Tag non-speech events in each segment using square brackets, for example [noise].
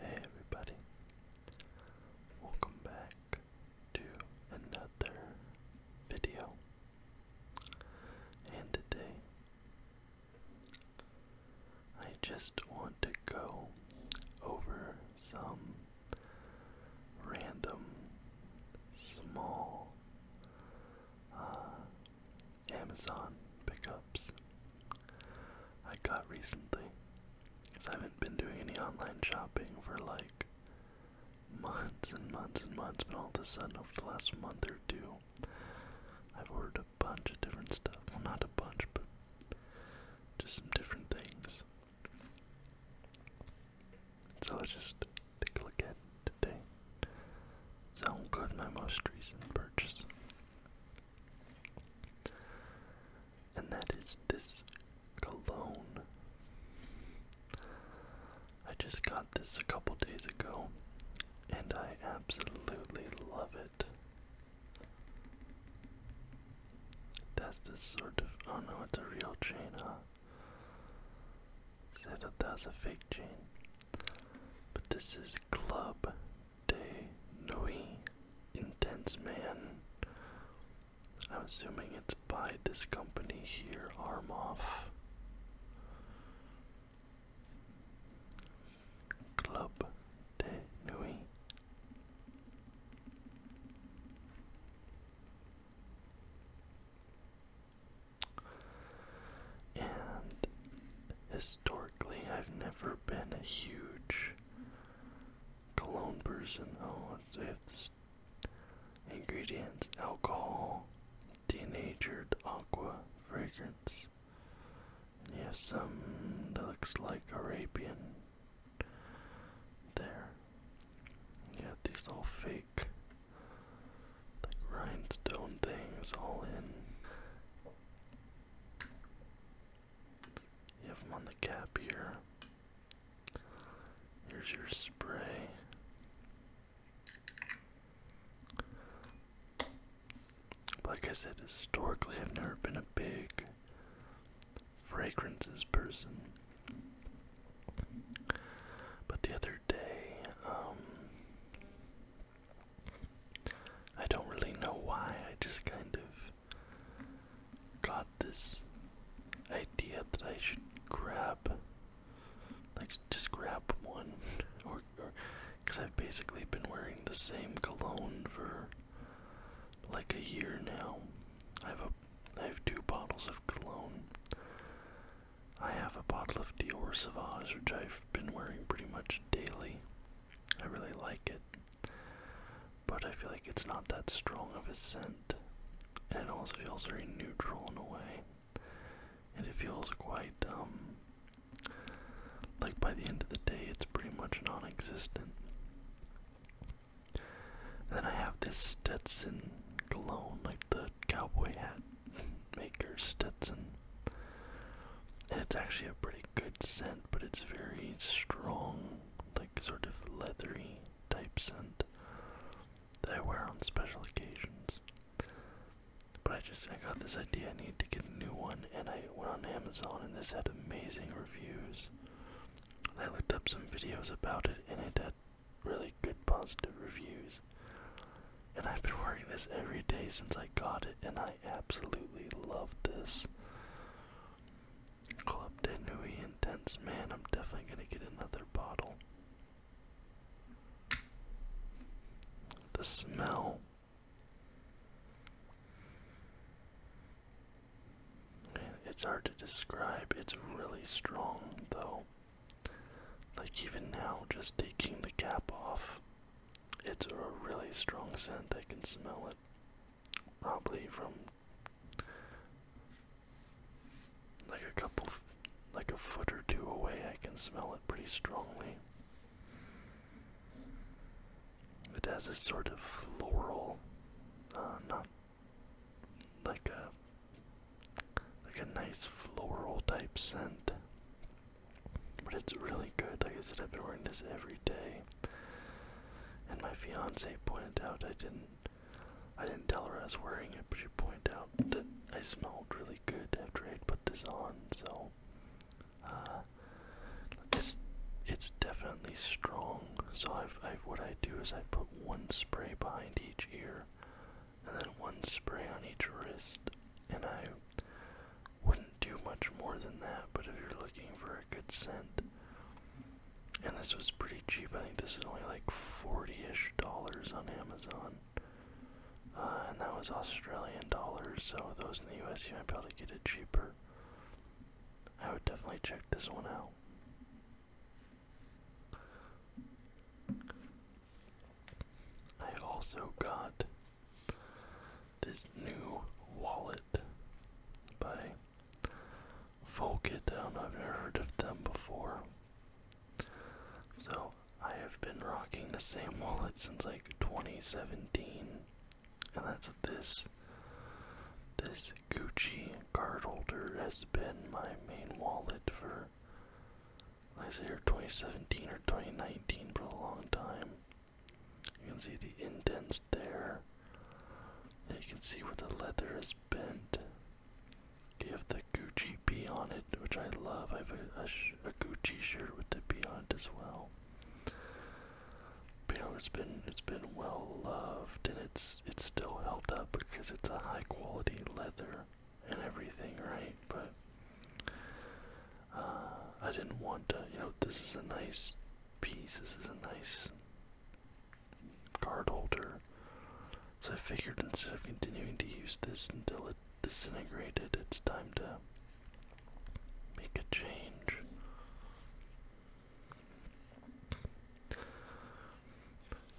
Hey everybody, welcome back to another video. And today, I just want to go over some random small uh, Amazon pickups I got recently. Because I haven't been doing any online shopping for like months and months and months, but all of a sudden, over the last month or two, I've ordered a bunch of different stuff. Well, not a bunch, but just some different things. So let's just take a look at it today. So i my most recent purchase. And that is this cologne. I just got this a couple days ago, and I absolutely love it. That's this sort of. Oh no, it's a real chain, huh? Say that that's a fake chain. But this is Club de Nui, Intense Man. I'm assuming it's by this company here, Armoff. Club de Nui. And historically, I've never been a huge cologne person. Oh, it's ingredients: alcohol, denatured aqua fragrance. And you have some that looks like Arabian. There. You have these all fake, like rhinestone things all in. You have them on the cap here. Here's your spray. Like I said, historically, I've never been a big fragrances person. But the other day, um, I don't really know why, I just kind of got this idea that I should grab, like, just grab one, [laughs] or, because I've basically been wearing the same cologne for like a year now. I have a, I have two bottles of cologne. I have a bottle of Dior Sauvage, which I've been wearing pretty much daily. I really like it, but I feel like it's not that strong of a scent, and it also feels very neutral in a way, and it feels quite um like by the end of the day it's pretty much non-existent. Then I have this Stetson cologne, like the cowboy hat [laughs] maker Stetson and it's actually a pretty good scent, but it's very strong, like sort of leathery type scent that I wear on special occasions. But I just I got this idea I need to get a new one, and I went on Amazon, and this had amazing reviews. I looked up some videos about it, and it had really good positive reviews. And I've been wearing this every day since I got it, and I absolutely love this. Club de Nui Intense. Man, I'm definitely going to get another bottle. The smell. It's hard to describe. It's really strong, though. Like, even now, just taking the cap off, it's a really strong scent. I can smell it probably from like a couple, like a foot or two away, I can smell it pretty strongly. It has a sort of floral, uh, not like a like a nice floral type scent, but it's really good. Like I said, I've been wearing this every day. And my fiance pointed out I didn't I didn't tell her I was wearing it, but she pointed out that I smelled really good after I put this on, so uh it's it's definitely strong. So I've, i what I do is I put one spray behind each ear and then one spray on each wrist and I wouldn't do much more than that, but if you're looking for a good scent, and this was pretty cheap, I think this is only like 40-ish dollars on Amazon, uh, and that was Australian dollars, so those in the US you might be able to get it cheaper. I would definitely check this one out. I also got this new wallet by Folkit. I've never heard of them before. So I have been rocking the same wallet since like 2017, and that's this. This Gucci card holder has been my main wallet for, I say, or 2017 or 2019 for a long time. You can see the indents there. you can see where the leather is bent. You have the Gucci B on it, which I love. I have a, Gucci shirt with the B on it as well. you know, it's been it's been well loved, and it's it's still held up because it's a high quality leather and everything, right? But uh, I didn't want to, you know, this is a nice piece, this is a nice card holder. So I figured instead of continuing to use this until it disintegrated, it's time to make a change.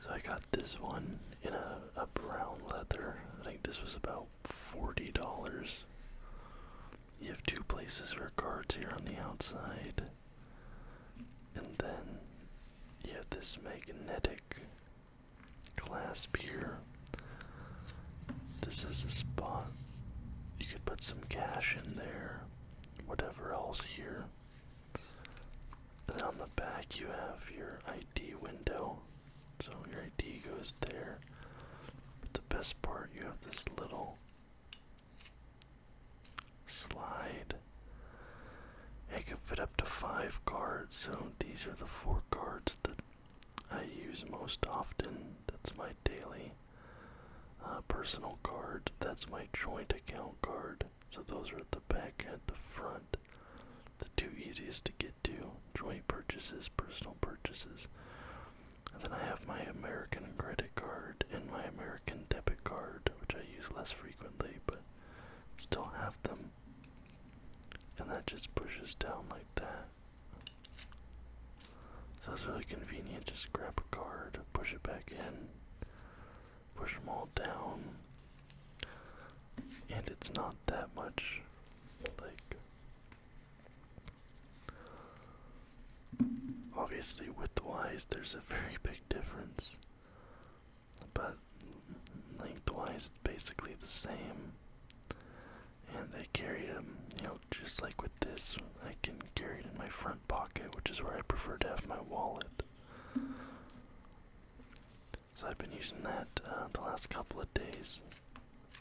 So I got this one in a brown leather. I think this was about $40. You have two places for cards here on the outside. And then you have this magnetic clasp here. This is a spot. You could put some cash in there, whatever else here. Then on the back, you have your ID window. So your ID goes there. But the best part, you have this little Slide. I can fit up to five cards, so these are the four cards that I use most often. That's my daily uh, personal card. That's my joint account card. So those are at the back and the front. The two easiest to get to joint purchases, personal purchases. And then I have my American credit card and my American debit card, which I use less frequently, but still have them. And that just pushes down like that. So it's really convenient. Just grab a card, push it back in, push them all down. And it's not that much like Obviously, width-wise, there's a very [laughs] big difference, but lengthwise, it's basically the same. And I carry them, you know, just like with this, I can carry it in my front pocket, which is where I prefer to have my wallet. So I've been using that uh, the last couple of days,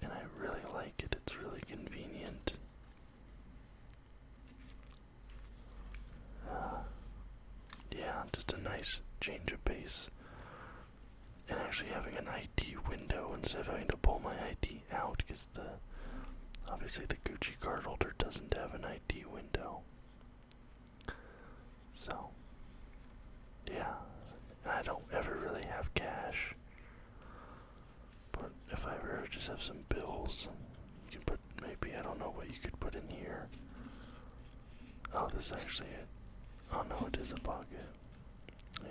and I really like it. It's really convenient yeah, just a nice change of pace. And actually having an ID window instead of having to pull my ID out because the obviously the Gucci card holder doesn't have an ID window. So yeah. I don't ever really have cash. But if I ever just have some bills, you can put maybe I don't know what you could put in here. Oh, this is actually it. Oh no, it is a pocket.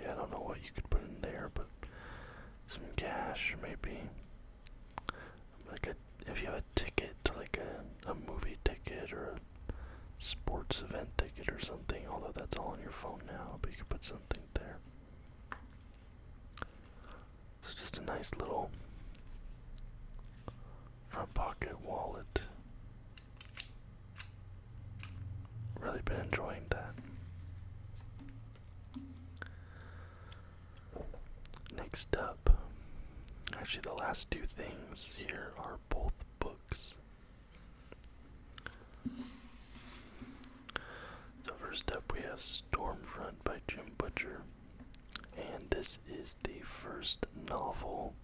Yeah, I don't know what you could put in there, but some cash maybe. Like a, if you have a ticket to like a a movie ticket or a sports event ticket or something. Although that's all on your phone now, but you could put something there. It's just a nice little front pocket wallet. Really been enjoying that. Next up, actually, the last two things here are both books. So, first up, we have Stormfront by Jim Butcher. And this is the first novel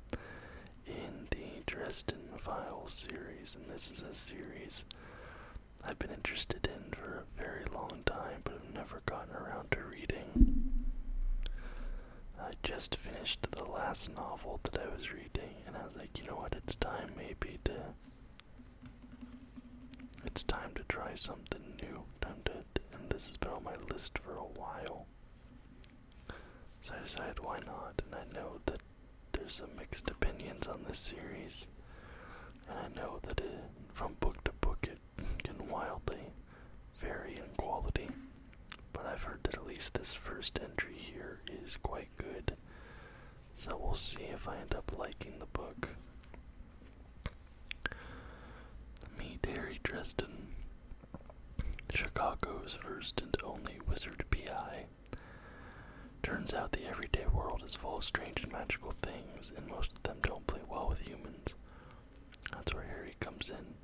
in the Dresden Files series. And this is a series I've been interested in for a very long time, but I've never gotten around to reading. I just finished the last novel that I was reading, and I was like, you know what, it's time maybe to it's time to try something new. Time to, and this has been on my list for a while. So I decided why not, and I know that there's some mixed opinions on this series, and I know that from book to book it can wildly vary in quality, but I've heard that at least this first entry here is quite good. So we'll see if I end up liking the book. Meet Harry Dresden, Chicago's first and only wizard PI. Turns out the everyday world is full of strange and magical things, and most of them don't play well with humans. That's where Harry comes in.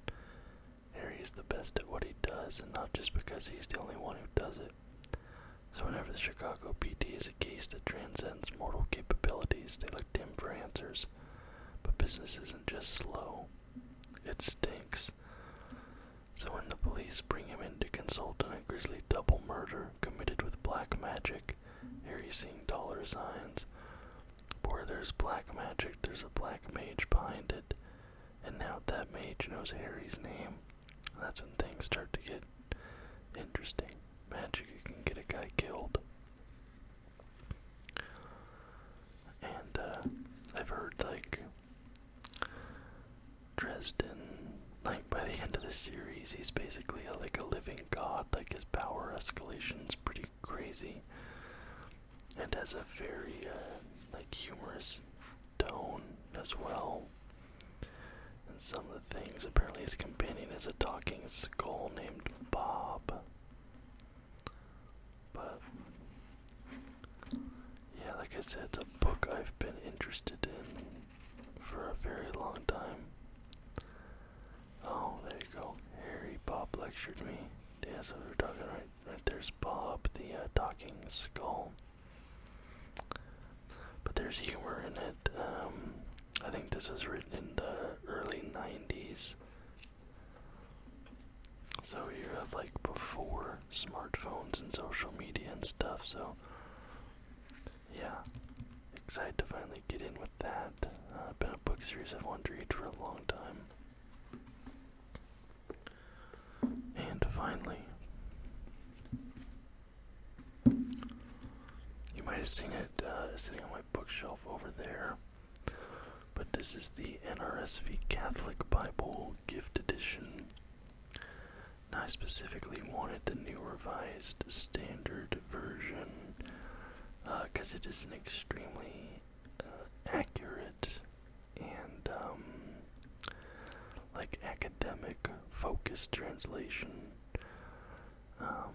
Harry the best at what he does, and not just because he's the only one who does it. So whenever the Chicago PD is a case that transcends mortal capabilities, they look to him for answers. But business isn't just slow. It stinks. So when the police bring him in to consult on a grisly double murder committed with black magic, here he's seeing dollar signs. But where there's black magic, there's a black mage behind it. And now that mage knows Harry's name. That's when things start to get interesting magic you can get a guy killed. And uh, I've heard like Dresden, like by the end of the series, he's basically like a living god. Like his power escalation's pretty crazy, and has a very uh, like humorous tone as well. And some of the things. Apparently, his companion is a talking skull named Bob. But, yeah, like I said, it's a book I've been interested in for a very long time. Oh, there you go. Harry Bob lectured me. Yeah, so we're talking right, right there's Bob, the uh, talking skull. But there's humor in it. Um, I think this was written in the early 90s. So you have like before smartphones and social media and stuff. So yeah, excited to finally get in with that. Uh, been a book series I've wanted to read for a long time. And finally, you might have seen it uh, sitting on my bookshelf over there. But this is the NRSV Catholic Bible Gift Edition. I specifically wanted the new revised standard version because uh, it is an extremely uh, accurate and um, like academic focused translation. Um,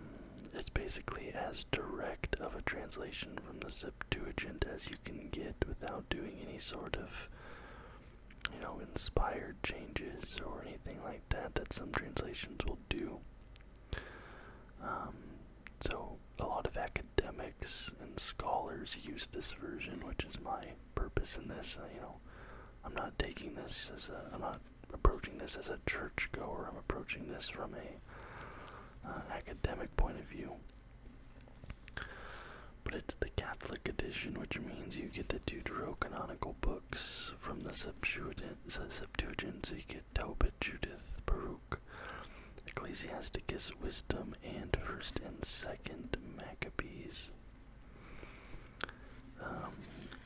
it's basically as direct of a translation from the Septuagint as you can get without doing any sort of, you know, inspired changes or anything like that that some translations will do. Um, so, a lot of academics and scholars use this version, which is my purpose in this. you know, I'm not taking this as a approaching this as a churchgoer. I'm approaching this from a uh, academic point of view. But it's the Catholic edition, which means you get the canonical books from the Septuagint, Septuagint so you get Tobit, Judith, Baruch, Ecclesiasticus, Wisdom, and First and Second Maccabees. Um,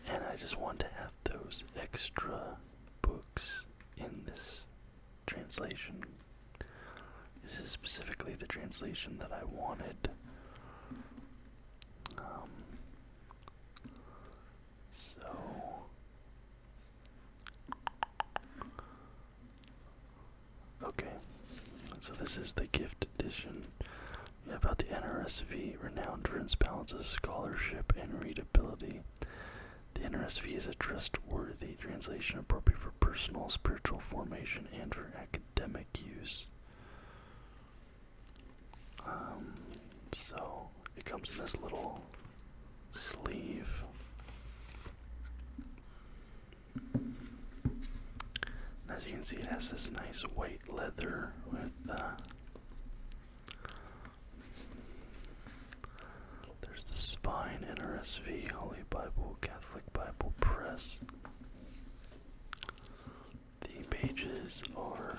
and I just want to have those extra books in this translation. This is specifically the translation that I wanted. Um, so. Okay, so this is the gift edition about the NRSV, renowned for its balance of scholarship and readability. The NRSV is a trustworthy translation appropriate for personal, spiritual formation, and for academic use. Um, so it comes in this little sleeve. as you can see, it has this nice white leather with uh, there's the Spine in RSV Holy Bible, Catholic Bible Press. The pages are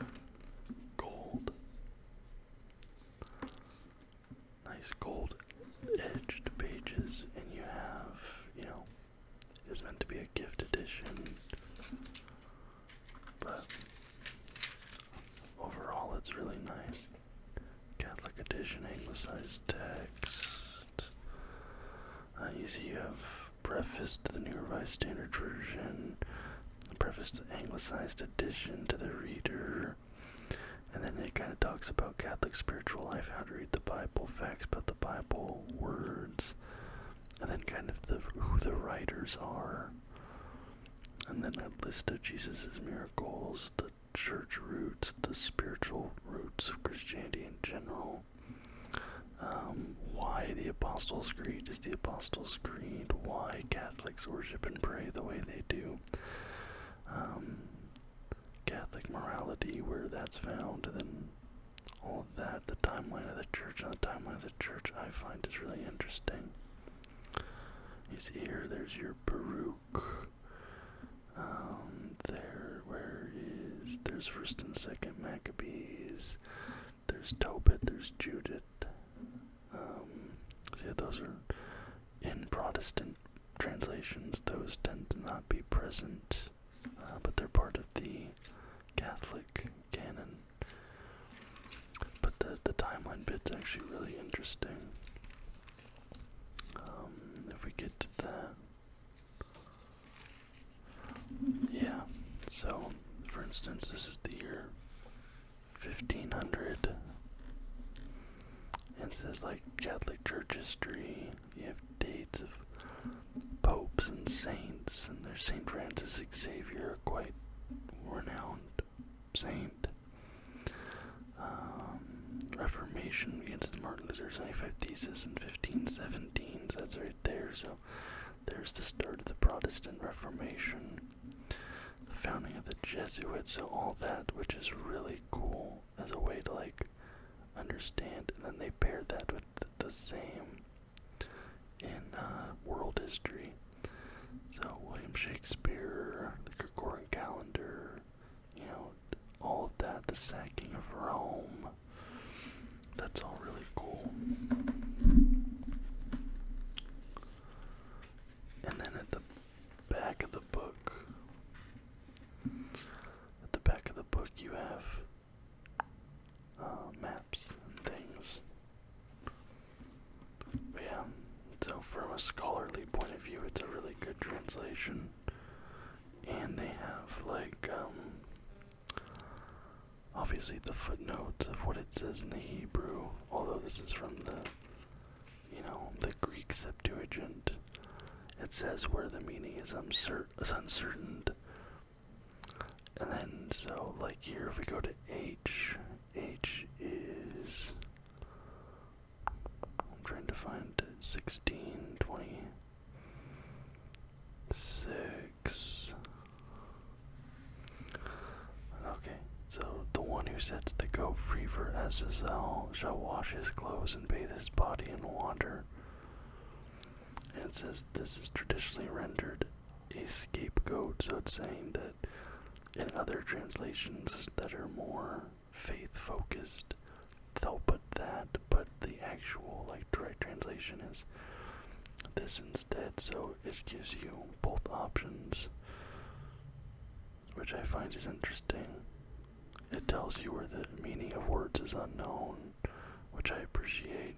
gold. Nice gold edged pages, and you have, you know, it is meant to be a gift edition. But overall, it's really nice. Catholic edition, anglicized text. Uh, you see, you have preface to the New Revised Standard Version, preface to the anglicized edition to the reader, and then it kind of talks about Catholic spiritual life, how to read the Bible, facts about the Bible, words and then kind of the who the writers are. And then a list of Jesus' miracles, the church roots, the spiritual roots of Christianity in general. Um, why the Apostles' Creed is the Apostles' Creed, why Catholics worship and pray the way they do, um, Catholic morality, where that's found, then all that. The timeline of the church and the timeline of the church I find is really interesting. You see here, there's your Baruch. Um, there, where is, there's first and second Maccabees. There's Tobit, there's Judith. Um, those are in Protestant translations. Those tend to not be present, uh, but they're part of the Catholic canon. But the the timeline bit's actually really interesting. Um, if we get to that, yeah. So, for instance, this is the year fifteen hundred, and it says like Catholic Church history. You have dates of popes and saints, and there's Saint Francis Savior, quite renowned saint. Um, Reformation against Martin Luther's 95 theses in 1517, that's right there. So there's the start of the Protestant Reformation, the founding of the Jesuits, so all that, which is really cool as a way to like understand. And then they paired that with the same in uh, world history. So William Shakespeare, the Gregorian calendar, you know, all of that, the sacking of Rome. That's all really cool. And then at the back of the book, at the back of the book, you have uh, and things. But yeah, so from a scholarly point of view, it's a really good translation. And they have, like, um, obviously the footnotes of what it says in the Hebrew, although this is from the, you know, the Greek Septuagint. It says where the meaning is uncertain, and then, so like here, if we go to H, H is. I'm trying to find 16, 20, 6. Okay, so the one who sets the goat free for SSL shall wash his clothes and bathe his body in water. And says this is traditionally rendered a scapegoat, so it's saying that in other translations that are more faith focused, they'll put that, but the actual like direct translation is this instead, so it gives you both options, which I find is interesting. It tells you where the meaning of words is unknown, which I appreciate.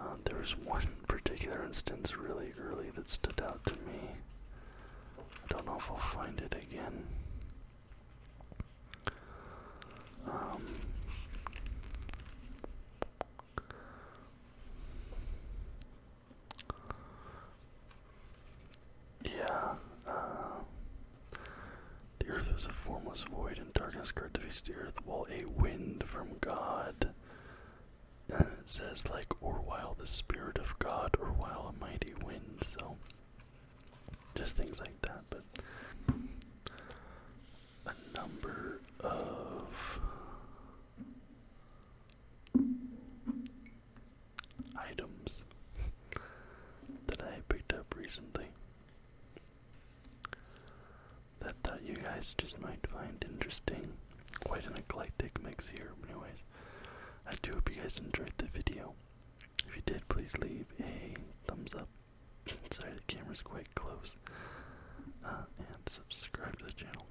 Uh, there was one particular instance really early that stood out to me. I don't know if I'll find it again. Um, yeah, uh, the earth was a formless void, and darkness covered the earth, while a wind from God. And it says, like, or while the Spirit of God, or while a mighty wind, so just things like that. But a number of items that I picked up recently that thought you guys just might find interesting. Quite an eclectic mix here, anyways. I do hope you guys enjoyed the video. If you did, please leave a thumbs up. [laughs] Sorry, the camera's quite close. Uh, and subscribe to the channel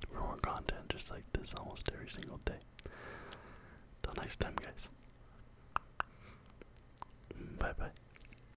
for more content just like this almost every single day. Till next time, guys. Bye bye.